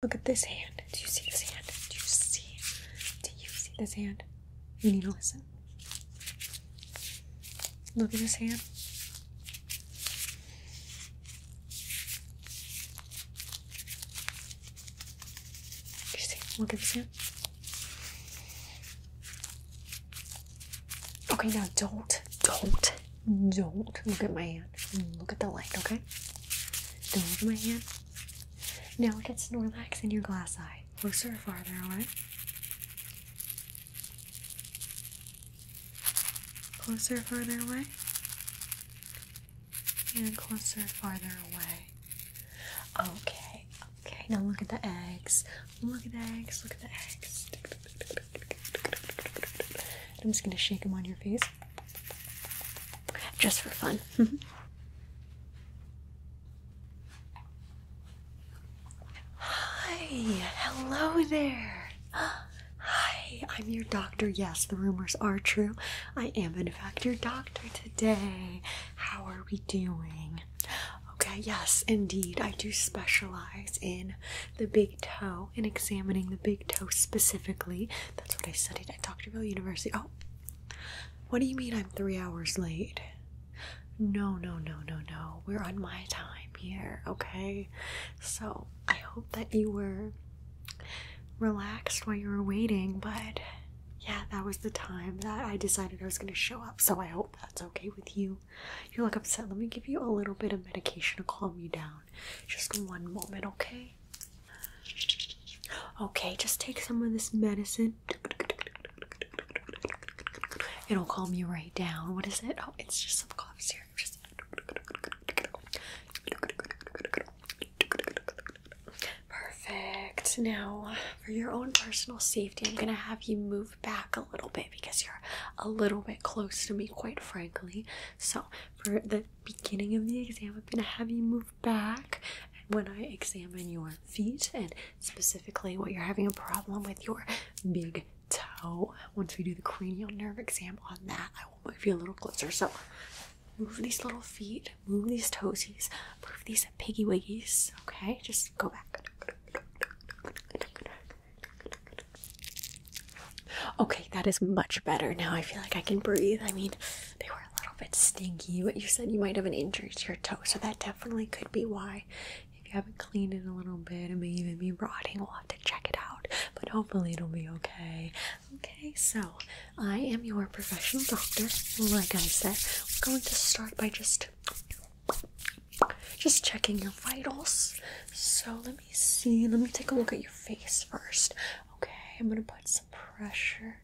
Look at this hand. Do you see this hand? Do you see? Do you see this hand? You need to listen. Look at this hand. Do you see? Look at this hand. Okay, now don't, don't, don't look at my hand. Look at the light, okay? Don't move my hand. Now get Snorlax in your glass eye. Closer farther away? Closer farther away? And closer farther away. Okay, okay. Now look at the eggs. Look at the eggs. Look at the eggs. I'm just gonna shake them on your face. Just for fun. Hi, hello there. Hi, I'm your doctor. Yes, the rumors are true. I am, in fact, your doctor today. How are we doing? Okay, yes, indeed. I do specialize in the big toe and examining the big big specifically. That's what I studied at Doctorville University. Oh, what do you mean I'm three hours late? No, no, no, no, no. We're on my time here, okay? So I hope that you were relaxed while you were waiting, but yeah, that was the time that I decided I was going to show up. So I hope that's okay with you. You look upset. Let me give you a little bit of medication to calm you down. Just one moment, okay? Okay. just take some of this medicine. It'll calm you right down. What is it? Oh, it's just some cough syrup. Perfect. Now, for your own personal safety, I'm gonna have you move back a little bit because you're a little bit close to me, quite frankly. So, for the beginning of the exam, I'm going to have you move back. when I examine your feet and specifically what you're having a problem with, your big toe, once we do the cranial nerve exam on that, I will move you a little closer. So move these little feet, move these toesies, move these piggy wiggies. Okay, just go back. Okay, that is much better now. I feel like I can breathe. I mean, they were a little bit stinky, but you said you might have an injury to your toe, so that definitely could be why. If you haven't cleaned it a little bit, it may even be rotting. We'll have to check it out, but hopefully it'll be okay. Okay, so I am your professional doctor. Like I said, we're going to start by just just checking your vitals. So let me see. Let me take a look at your face first. Okay, I'm gonna put some pressure.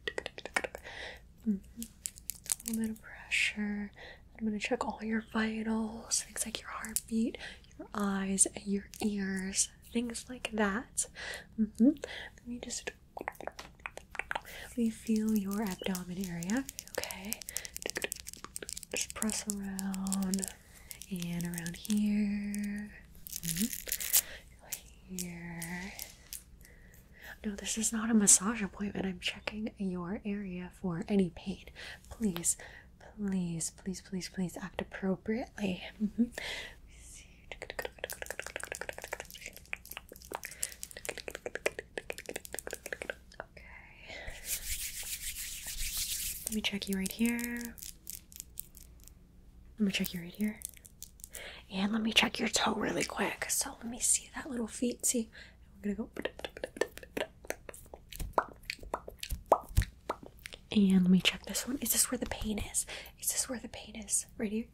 Mm-hmm. A little bit of pressure. I'm gonna check all your vitals, things like your heartbeat, your eyes, your ears, things like that. Mm-hmm. Let me just let me feel your abdomen area. Okay, just press around and around here, mm-hmm. here. No, this is not a massage appointment. I'm checking your area for any pain. Please, please, please, please, please act appropriately. Mm-hmm. Okay. Let me check you right here. Let me check your right here, And let me check your toe really quick. So let me see that little feet. See, we're gonna go. And let me check this one. Is this where the pain is? Is this where the pain is? Right here?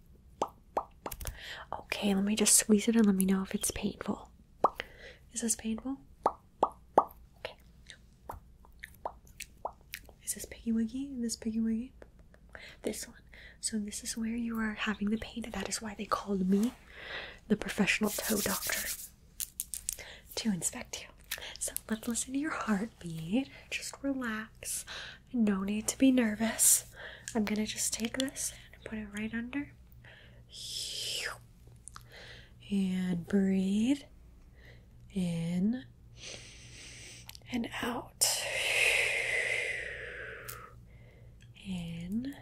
Okay, let me just squeeze it and let me know if it's painful. Is this painful? Okay. Is this Piggy Wiggy? This Piggy Wiggy? This one. So this is where you are having the pain. That is why they called me the professional toe doctor to inspect you. So let's listen to your heartbeat. Just relax. No need to be nervous. I'm gonna just take this and put it right under. And breathe in and out, in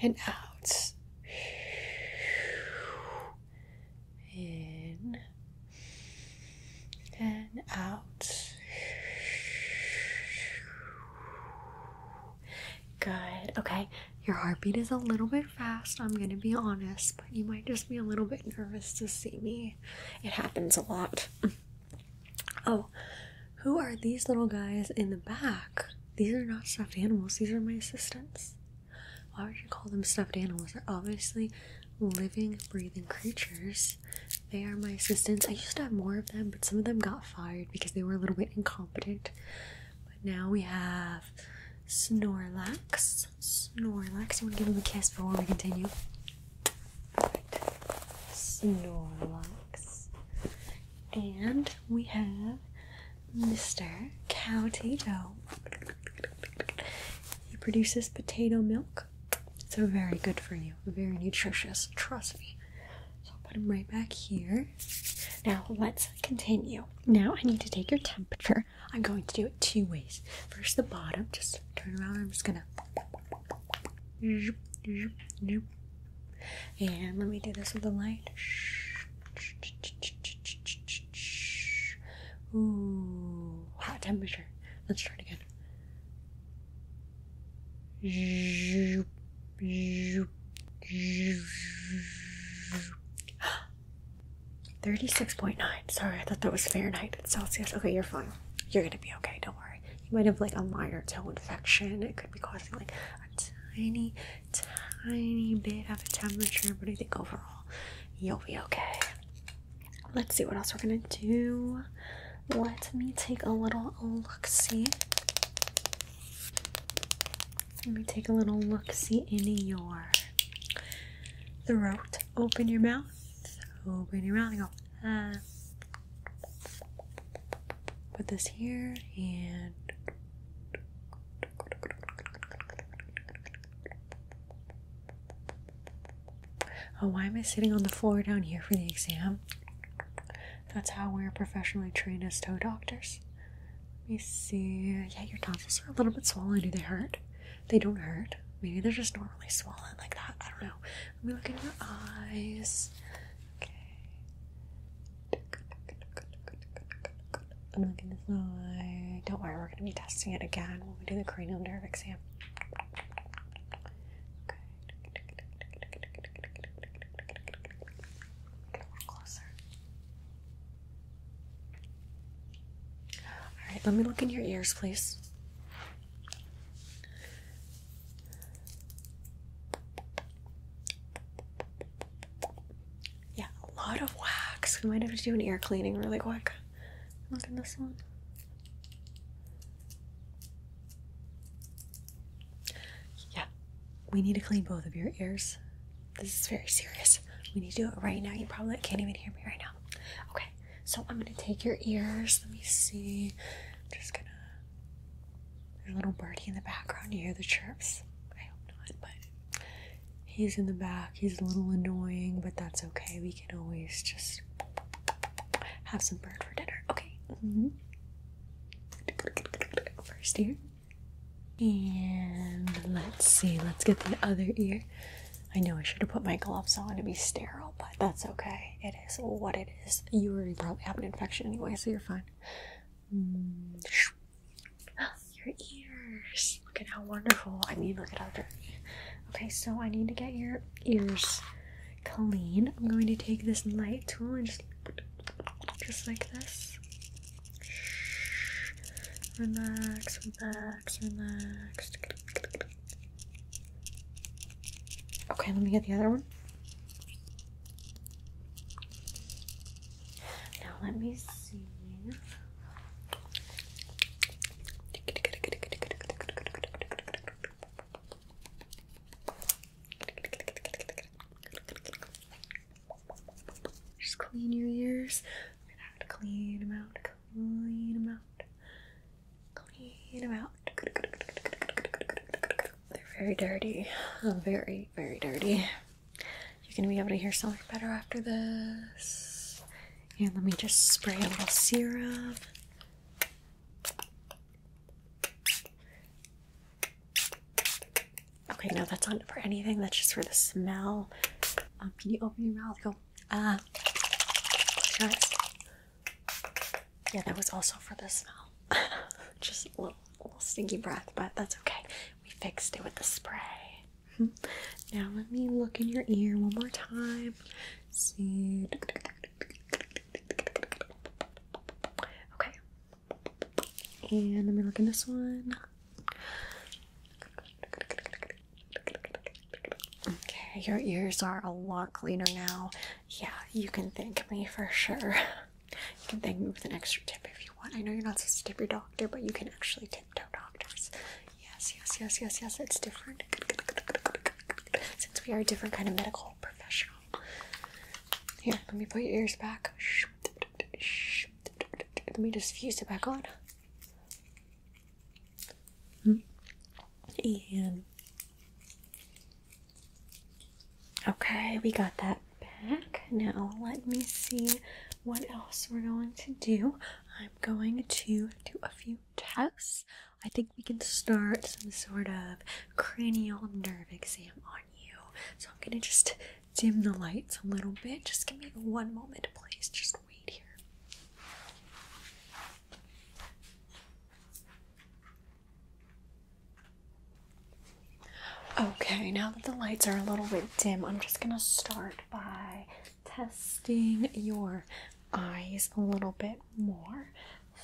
and out, in and out. Good. Okay. Your heartbeat is a little bit fast, I'm gonna be honest, but you might just be a little bit nervous to see me. It happens a lot. oh, who are these little guys in the back? These are not stuffed animals, these are my assistants. Why would you call them stuffed animals? They're obviously living, breathing creatures. They are my assistants. I used to have more of them, but some of them got fired because they were a little bit incompetent. But now we have Snorlax. Snorlax. You want to give him a kiss before we continue? Perfect. Snorlax. And we have Mr. Cow Tato. He produces potato milk. It's very good for you, very nutritious. Trust me. So I'll put him right back here. Now let's continue. Now I need to take your temperature. I'm going to do it two ways. First, the bottom, just turn around. I'm just gonna. And let me do this with the light. Ooh, hot temperature. Let's try it again. 36.9. Sorry, I thought that was Fahrenheit. It's Celsius. Okay, you're fine. You're gonna be okay. Don't worry. You might have like a minor toe infection. It could be causing like a tiny, tiny bit of a temperature, but I think overall you'll be okay. Let's see what else we're gonna do. Let me take a little look see. Let me take a little look see in your throat. Open your mouth. Open your mouth go. Ah. Put this here and Oh, why am I sitting on the floor down here for the exam? That's how we're professionally trained as toe doctors. Let me see. Yeah, your tonsils are a little bit swollen. Do they hurt? They don't hurt. Maybe they're just normally swollen like that. I don't know. Let me look in your eyes. Okay. I'm looking this eye. Don't worry, we're going to be testing it again when we do the cranial nerve exam. Okay. Get a little closer. All right, let me look in your ears, please. Yeah, a lot of wax. We might have to do an ear cleaning really quick. Look in this one. Yeah, we need to clean both of your ears this is very serious. We need to do it right now. You probably can't even hear me right now. Okay, so I'm gonna take your ears. Let me see. I'm just gonna. There's a little birdie in the background. You hear the chirps? I hope not, but he's in the back. He's a little annoying, but that's okay. We can always just have some bird for dinner. Okay. Mm-hmm. First ear. And let's see, let's get the other ear. I know I should have put my gloves on to be sterile, but that's okay. It is what it is. You already probably have an infection anyway, so you're fine. Oh, your ears. Look at how wonderful. I mean, look at how dirty. Okay, so I need to get your ears clean. I'm going to take this light tool and just, just like this. Relax, relax, relax. Okay, let me get the other one. Now let me see. Just clean your ears. We're gonna have to clean them out, clean them out, clean them out. They're very dirty, very, very dirty. You're gonna be able to hear so much better after this. And let me just spray a little serum. Okay, no, that's not for anything. That's just for the smell. Um, can you open your mouth? Go. Ah. Yeah, that was also for the smell. just a little, a little stinky breath, but that's okay. We fixed it with the spray. now let me look in your ear one more time. See. Okay. And let me look in this one. Okay, your ears are a lot cleaner now. Yeah, you can thank me for sure. You can thank me with an extra tip if you want. I know you're not supposed to tip your doctor, but you can actually tip tiptoe doctors. Yes, yes, yes, yes, yes. It's different since we are a different kind of medical professional. Here, let me put your ears back. shh, let me just fuse it back on. And okay, we got that back. Now let me see what else we're going to do. I'm going to do a few tests. I think we can start some sort of cranial nerve exam on you. So I'm gonna just dim the lights a little bit. Just give me one moment, please. Just wait here. Okay, now that the lights are a little bit dim, I'm just going to start by testing your eyes a little bit more.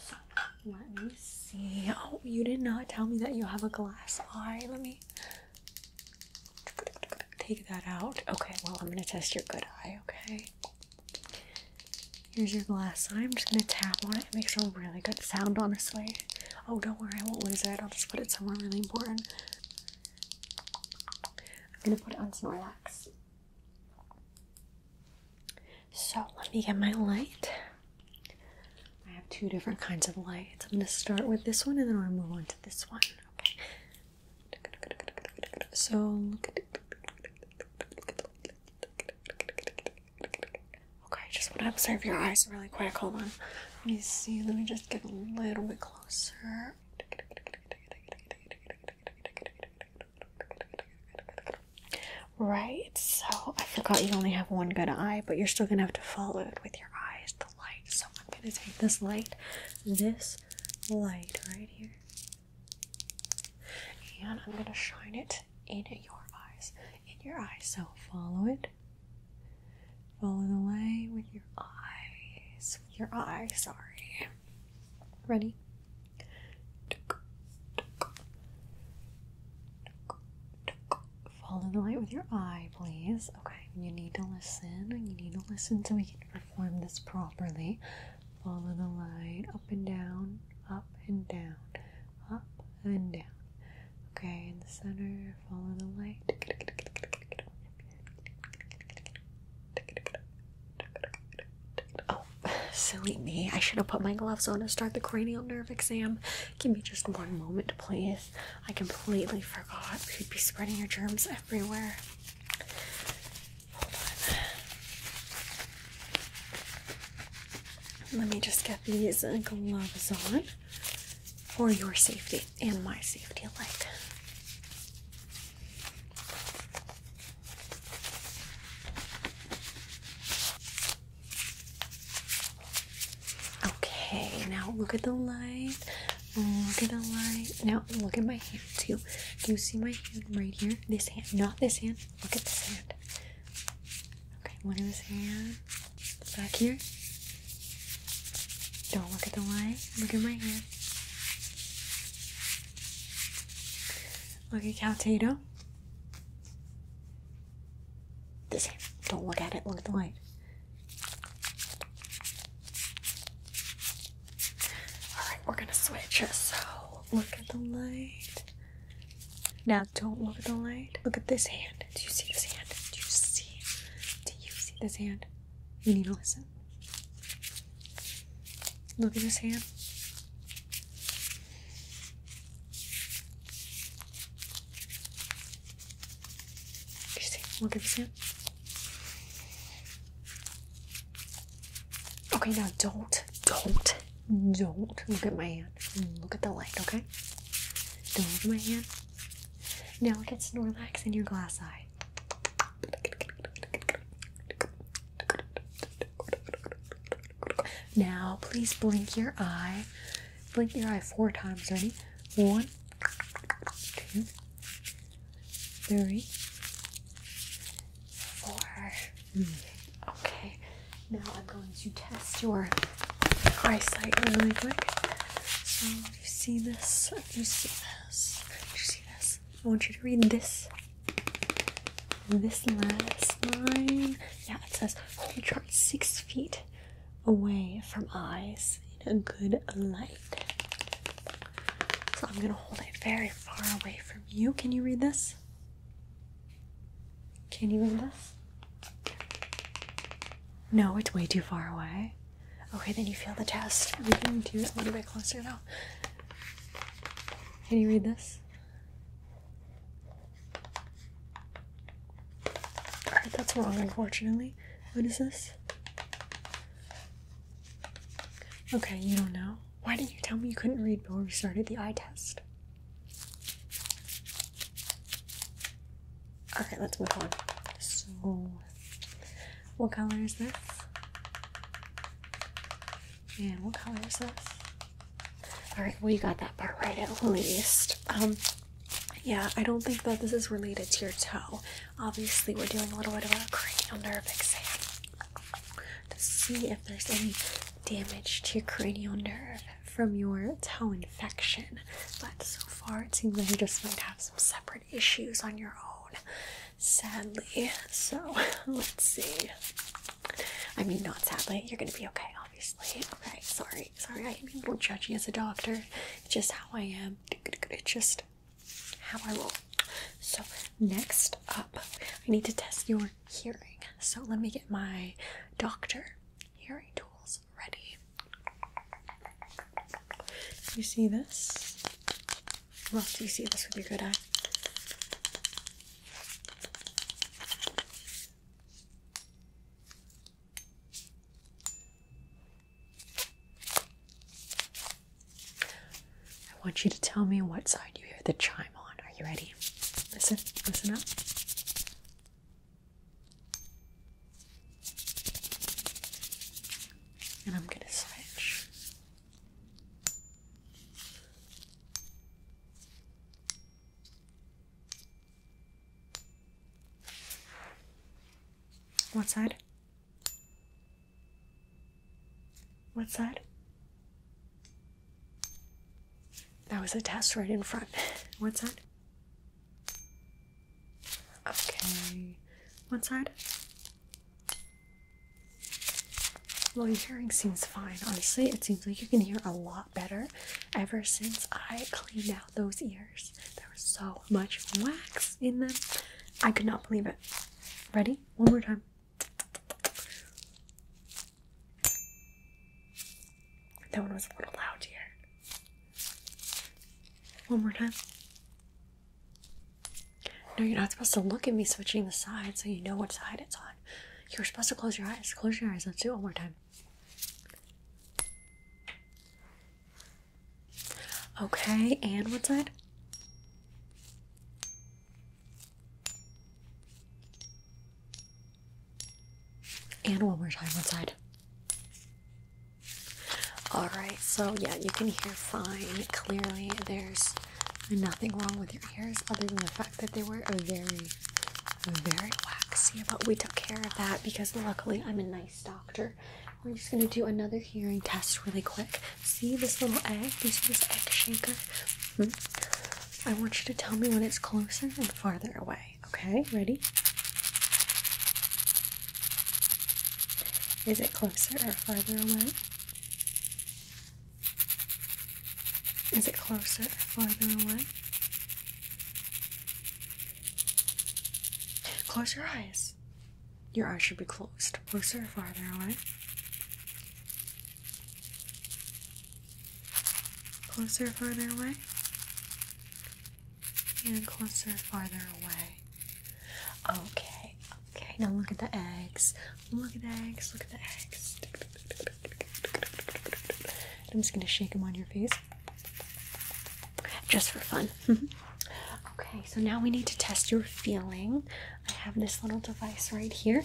So let me see. Oh, you did not tell me that you have a glass eye. Let me Take that out. Okay, well, I'm going to test your good eye, okay? Here's your glass I'm just going to tap on it. It makes a really good sound, honestly. Oh, don't worry, I won't lose it. I'll just put it somewhere really important. I'm going to put it on Snorlax. So, let me get my light. I have two different kinds of lights. I'm going to start with this one and then I'm going to move on to this one. Okay. So Okay, I just want to observe your eyes really quick. Hold on. Let me see. Let me just get a little bit closer. Right, so I forgot you only have one good eye, but you're still gonna have to follow it with your eyes light. So I'm going to take this light, this light right here, and I'm going to shine it in your eyes. In your eyes. So follow it. Follow the light with your eyes. Your eyes. sorry. Ready? Follow the light with your eye, please. Okay, you need to listen. You need to listen so we can perform this properly. Follow the light up and down, up and down, up and down. Okay, in the center, follow the light. Oh, silly me. I should have put my gloves on to start the cranial nerve exam. Give me just one moment, please. I completely forgot. You'd be spreading your germs everywhere. Hold on. Let me just get these gloves on for your safety and my safety alike. Okay, now look at the light. Look at the light. Now look at my hand too. Do you see my hand right here? This hand, not this hand. Look at this hand. Okay, one in this hand. Back here. Don't look at the light. Look at my hand. Look at Cal Tato the same. Don't look at it, look at the light. Alright, we're gonna switch. So, look at the light. Now, don't look at the light. Look at this hand. Do you see this hand? Do you see? Do you see this hand? You need to listen. Look at this hand. Interesting. We'll give this Okay, now don't, don't, don't look at my hand. Look at the light, okay? Don't look at my hand. Now get Snorlax in your glass eye. Now, please blink your eye. Blink your eye four times. Ready? One, two, three, four. Mm. Okay, now I'm going to test your eyesight really quick. So if you see this, if you see this, if you see this, I want you to read this. This last line, yeah, it says whole chart six feet away from eyes in a good light. So I'm going to hold it very far away from you. Can you read this? Can you read this? No, it's way too far away. Okay, then you feel the test. We can do it a little bit closer now. Can you read this? Alright, that's wrong, unfortunately. What is this? Okay, you don't know. Why didn't you tell me you couldn't read before we started the eye test? Alright, let's move on. So, what color is this? And what color is this? Alright, we got that part right at least. Um, yeah, I don't think that this is related to your toe. Obviously, we're doing a little bit of a cranial nerve exam to see if there's any damage to your cranial nerve from your toe infection. But so far, it seems like you just might have some separate issues on your own, sadly. So, let's see. I mean, not sadly, you're gonna be okay, obviously. Okay, sorry sorry, I am a little judgy as a doctor. It's just how I am. It's just how I roll. So next up, I need to test your hearing. So let me get my doctor hearing tools ready. You see this? Well, do you see this with your good eye? I want you to tell me what side you hear the chime on. Are you ready? Listen, listen up. And I'm going to switch. What side? What side? That was a test right in front. What side? Okay. What side? Well, your hearing seems fine. Honestly, it seems like you can hear a lot better ever since I cleaned out those ears. There was so much wax in them. I could not believe it. Ready? One more time. That one was a little loud here. One more time. No, you're not supposed to look at me switching the side so you know which side it's on. You're supposed to close your eyes. Close your eyes. Let's do one more time. Okay, and what side? And one more time, what side? Alright, so yeah, you can hear fine. Clearly, there's nothing wrong with your ears other than the fact that they were very very waxy, but we took care of that because luckily I'm a nice doctor. We're just gonna do another hearing test really quick. See this little egg? Do you see this egg shaker? Hmm? I want you to tell me when it's closer and farther away. Okay, ready? Is it closer or farther away? Is it closer or farther away? Close your eyes. Your eyes should be closed. Closer farther away? Closer farther away? And closer farther away. Okay, okay. Now look at the eggs. Look at the eggs. Look at the eggs. I'm just gonna shake them on your face just for fun. okay, so now we need to test your feeling. I have this little device right here.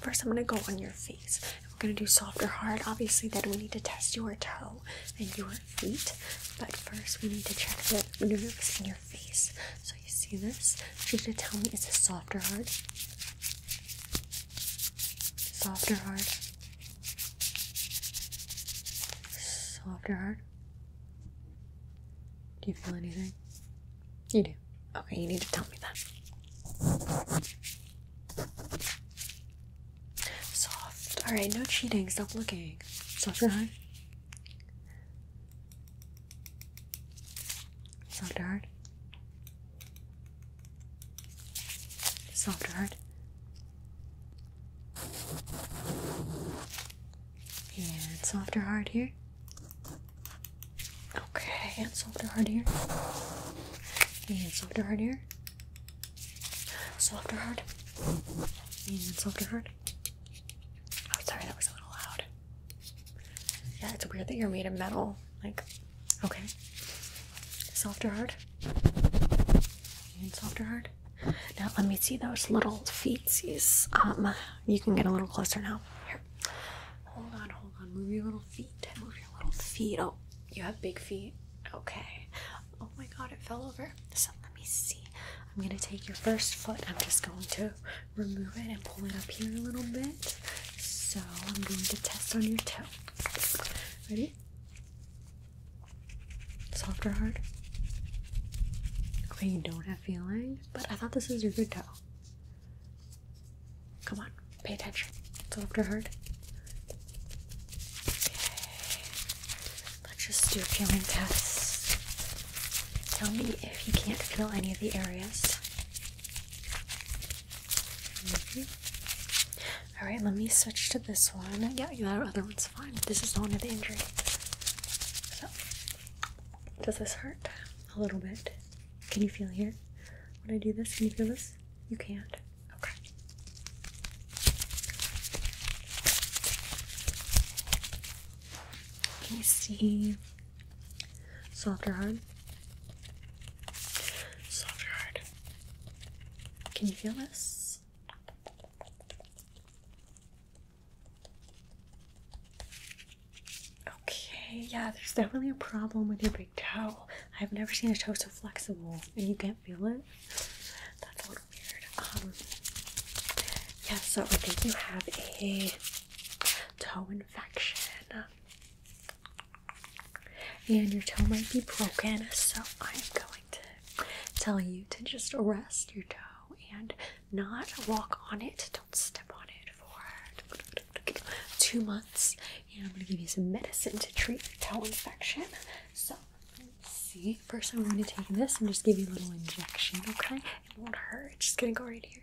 First, I'm going to go on your face. We're going to do soft or hard. Obviously, then we need to test your toe and your feet. But first, we need to check the nerves in your face. So, you see this? You need to tell me it's a soft or hard? Soft or hard? Soft or hard? Do you feel anything? You do. Okay, you need to tell me that. Soft. Alright, no cheating. Stop looking. Soft or hard? Soft or hard? Soft heart. And softer hard here. Okay, and softer hard here. And softer hard here. Softer hard. And softer hard. Oh, sorry, that was a little loud. Yeah, it's weird that you're made of metal. Like, Okay. Soft or hard? And soft or hard? Now let me see those little feetsies. Um, you can get a little closer now. Here. Hold on, hold on. Move your little feet. Move your little feet. Oh, you have big feet. Okay. Oh my god, it fell over. So let me see. I'm gonna take your first foot. I'm just going to remove it and pull it up here a little bit. So I'm going to test on your toe. Ready? Soft or hard? Okay, you don't have feeling, but I thought this was your good toe. Come on, pay attention. Soft or hard? Okay. Let's just do a feeling test. Tell me if you can't feel any of the areas. Mm-hmm. All right, let me switch to this one. Yeah, that other one's fine. This is the one with the injury. So, does this hurt? A little bit. Can you feel here? When I do this, can you feel this? You can't. Okay. Can you see? Softer or hard? Soft or hard? Can you feel this? Okay, yeah, there's definitely a problem with your big toe. I've never seen a toe so flexible and you can't feel it. That's a little weird. Um, yeah, so I think you have a toe infection and your toe might be broken, so I'm going to tell you to just rest your toe and not walk on it. Don't step on it for two months. And I'm going to give you some medicine to treat the toe infection. So let's see. First, I'm going to take this and just give you a little injection, okay? It won't hurt. It's just going to go right here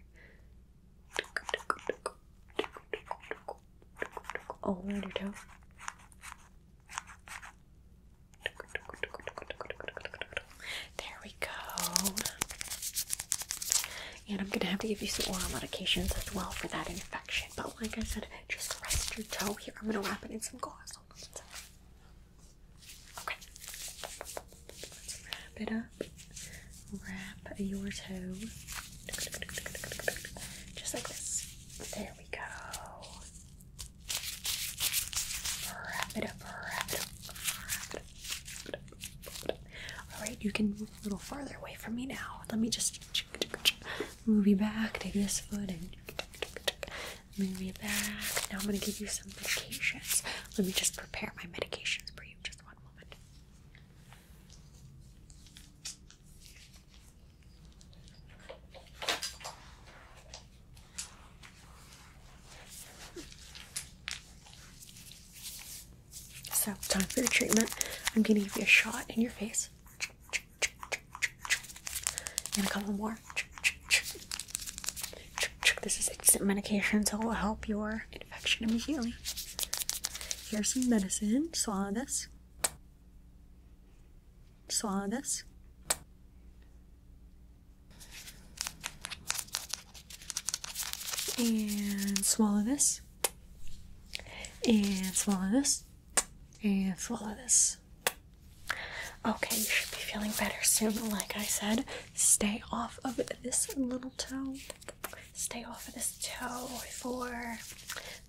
all your toe. There we go. And I'm going to have to give you some oral medications as well for that infection. But like I said, just rest your toe here. I'm going to wrap it in some gauze. Okay. Let's wrap it up. Wrap your toe. Just like this. There we go. Wrap it up, wrap it up, Alright, you can move a little farther away from me now. Let me just move you back. Take this foot and move you back. Now I'm going to give you some medications. Let me just prepare my medications for you. Just one moment. So, time for your treatment. I'm going to give you a shot in your face. And a couple more. This is instant medication, so it will help your infection immediately. Here's some medicine. Swallow this. Swallow this. And swallow this. And swallow this. And swallow this. Okay, you should be feeling better soon. Like I said, stay off of this little toe. Stay off of this toe for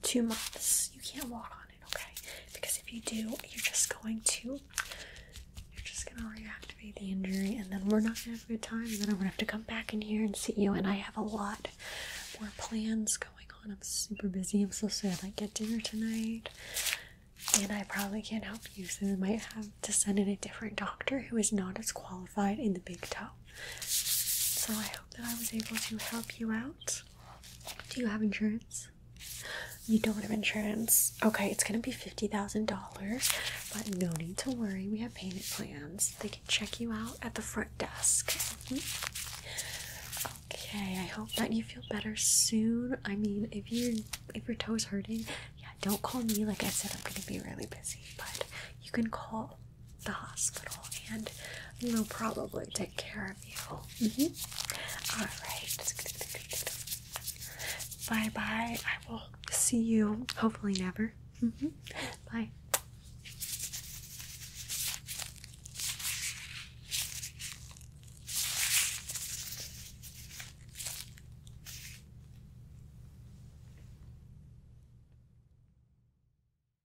two months, you can't walk on it, okay? Because if you do, you're just going to, you're just gonna reactivate the injury, and then we're not gonna have a good time, and then I'm gonna have to come back in here and see you. And I have a lot more plans going on. I'm super busy. I'm so sad I get dinner tonight, and I probably can't help you. So I might have to send in a different doctor who is not as qualified in the big toe. So I that I was able to help you out. Do you have insurance? You don't have insurance. Okay, it's gonna be $50,000, but no need to worry. We have payment plans. They can check you out at the front desk. Mm-hmm. Okay, I hope that you feel better soon. I mean, if you if your toes hurting, yeah, don't call me. Like I said, I'm gonna be really busy, but you can call the hospital, and we'll probably take care of you. Mm-hmm. All right. Bye bye. I will see you hopefully never. Mm-hmm. Bye.